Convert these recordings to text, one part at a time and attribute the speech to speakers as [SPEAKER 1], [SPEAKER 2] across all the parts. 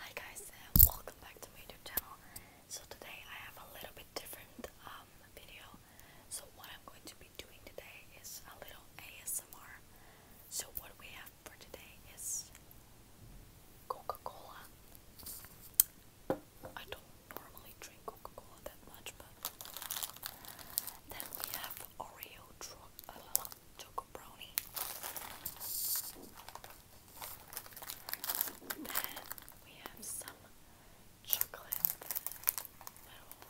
[SPEAKER 1] Hi guys uh, welcome back to my YouTube channel. So today I have a little bit different um, video. So what I'm going to be doing today is a little ASMR. So what we have for today is Coca-Cola. I don't normally drink Coca-Cola that much, but then we have Oreo, uh, Chocolate brownie. Then we have some chocolate little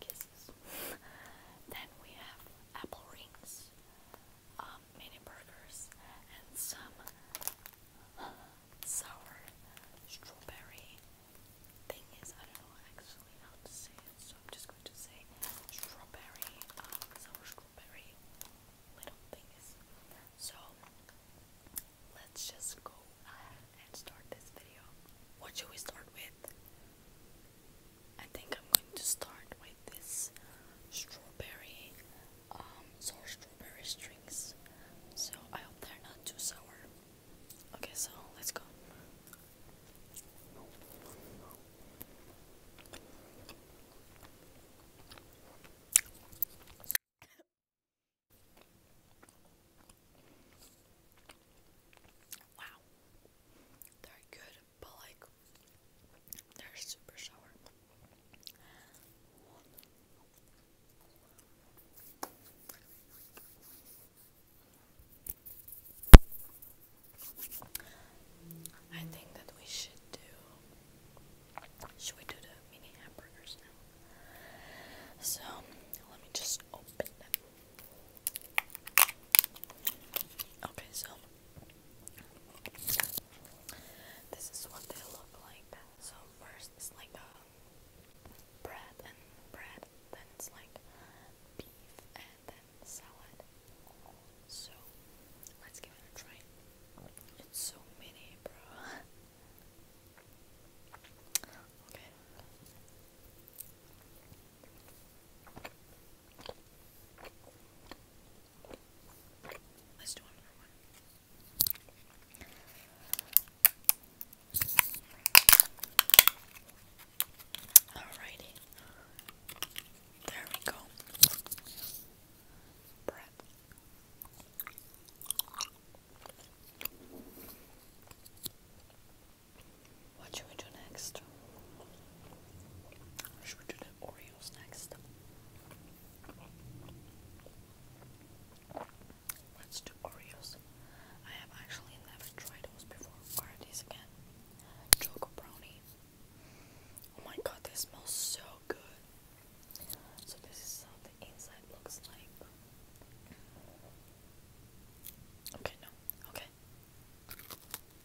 [SPEAKER 1] kisses. then we have apple rings, um, mini burgers, and some sour strawberry thing is, I don't know actually how to say it, so I'm just going to say strawberry, um, sour strawberry little things. So, let's just go ahead and start this video. What should we start with? I think I'm going to start with this strawberry, um, sour strawberry strings. So, I hope they're not too sour. Okay, so let's go. Wow. They're good, but like they're super sour. I think that we should do. Should we do the mini hamburgers now? So let me just open them. Okay, so this is what they look like. So first, it's like a bread and bread, then like beef and then salad. So let's give it a try. It's so many, bro. okay. Let's do another one. Alrighty. There we go. Breath. What should we do next? Should we do the Oreos next? Let's do Oreos. I have actually never tried those before. What these again? Choco brownie. Oh my god, they smell so good. So this is how the inside looks like. Okay, no. Okay.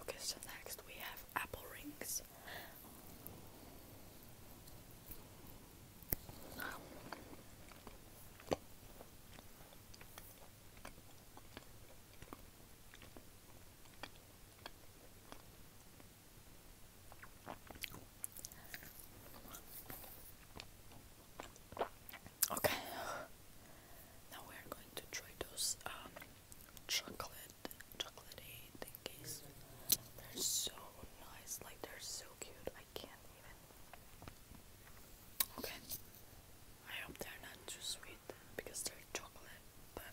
[SPEAKER 1] Okay, so next we have apple rings. Okay, now we're going to try those um, chocolate, chocolatey thingies. They're so nice, like they're so cute. I can't even. Okay, I hope they're not too sweet because they're chocolate, but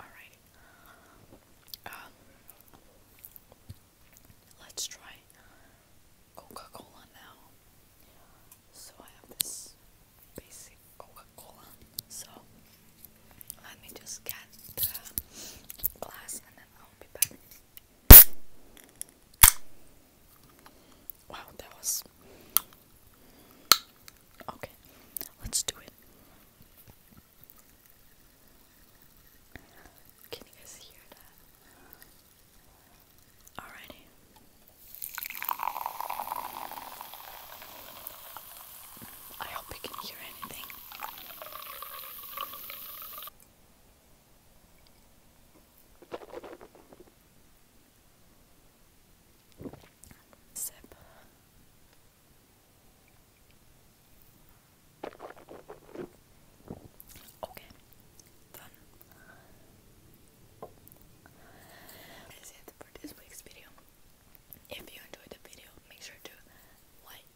[SPEAKER 1] Alright. Um, let's try Coca-Cola now. So I have this basic Coca-Cola. So let me just get the glass and then I'll be back. Wow, that was okay. Let's do it. Can you guys hear that? Alrighty. I hope you can hear anything. Okay, for this week's video. If you enjoyed the video, make sure to like,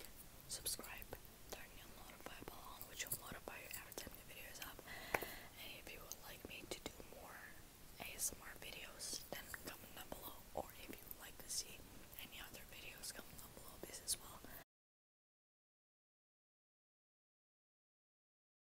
[SPEAKER 1] subscribe, turn your notify on, which will notify you every time the video is up. And if you would like me to do more ASMR videos, then comment down below. Or if you like to see any other videos, comment down below this as well.